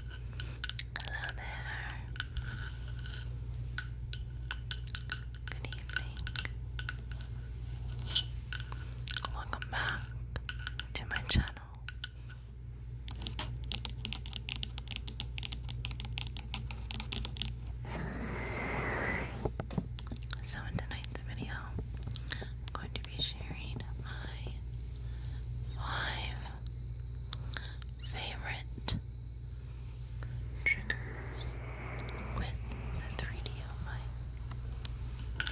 Hello there. Good evening. Welcome back to my channel. So, in tonight's video, I'm going to be sharing my five favorite triggers with the 3DO mic.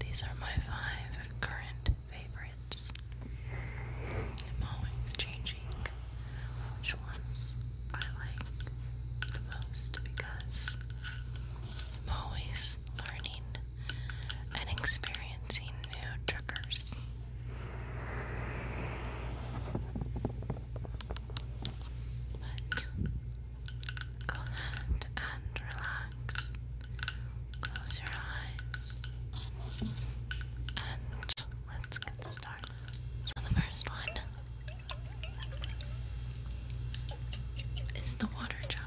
These are my five current favorites. I'm always changing which ones I like the most because I'm always learning and experiencing new triggers. But go ahead and relax. Close your eyes. And let's get started. the first one is the water jar.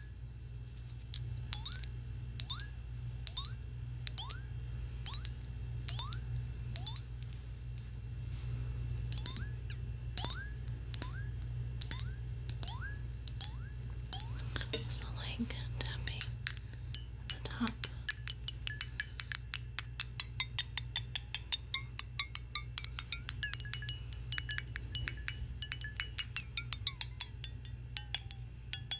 So like tapping at the top.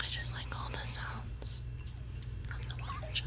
I just like all the sounds of the water jar.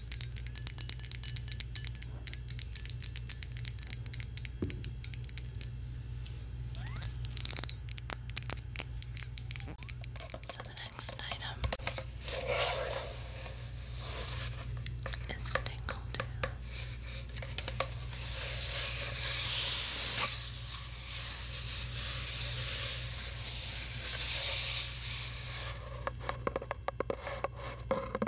So the next item is tingle too.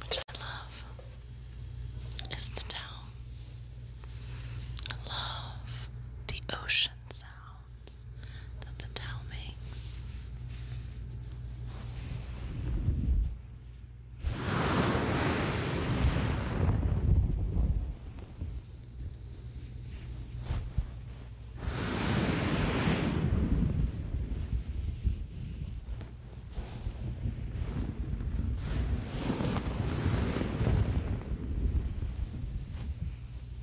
Which I love is the towel. I love the ocean sound that the towel makes.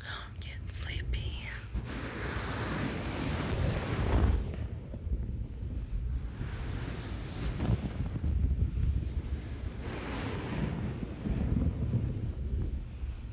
I'm getting sleepy.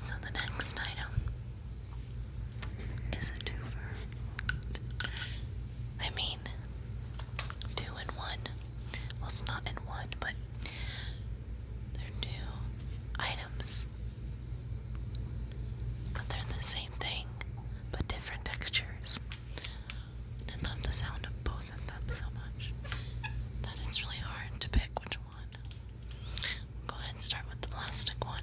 So the next item is a twofer. I mean, two and one. Well, it's not in one, but they're two items. But they're the same thing, but different textures. I love the sound of both of them so much that it's really hard to pick which one. Go ahead and start with the plastic one.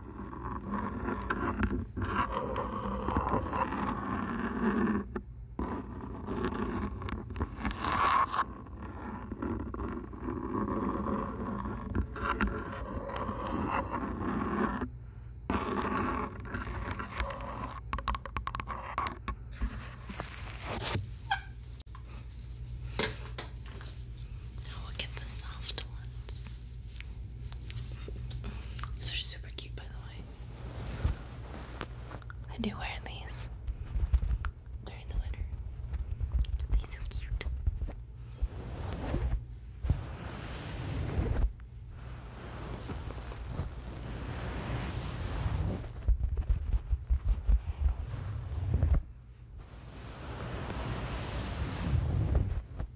Now we'll get the soft ones. These are super cute, by the way. I do wear these during the winter. These are cute.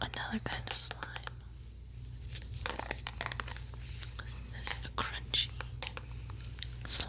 another kind of slime. This is a crunchy slime.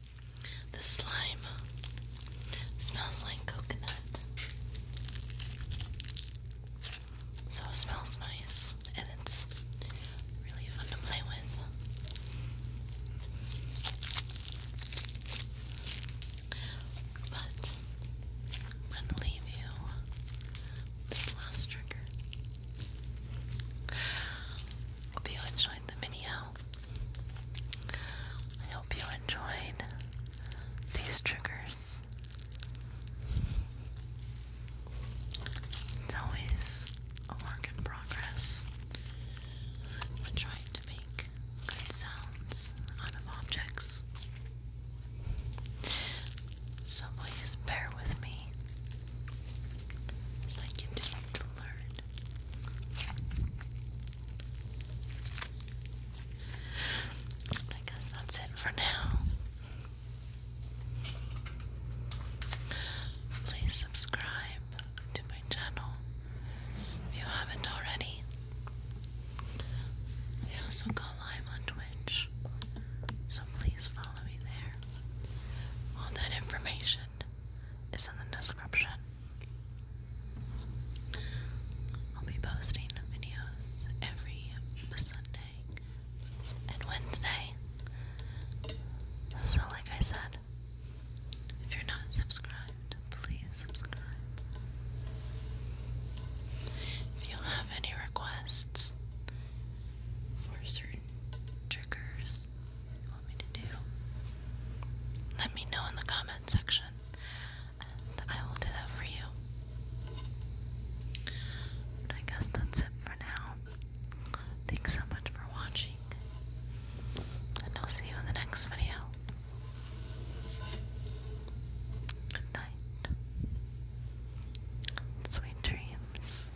The slime smells like coconut. So it smells nice and it's really fun to play with. But I'm going to leave you this last trigger. Hope you enjoyed the video. I hope you enjoyed these triggers. It's always a work in progress. When trying to make good sounds out of objects. So please bear with me I continue to learn I guess that's it for now. Please subscribe to my channel if you haven't already. I also go live on Twitch, so please follow me there. All that information is in the description. I'll be posting videos every Sunday and Wednesday. So, like I said, if you're not subscribed, please subscribe. If you have any requests for certain triggers let me know in the comment section and I will do that for you. But I guess that's it for now. Thanks so much for watching, and I'll see you in the next video. Good night. Sweet dreams.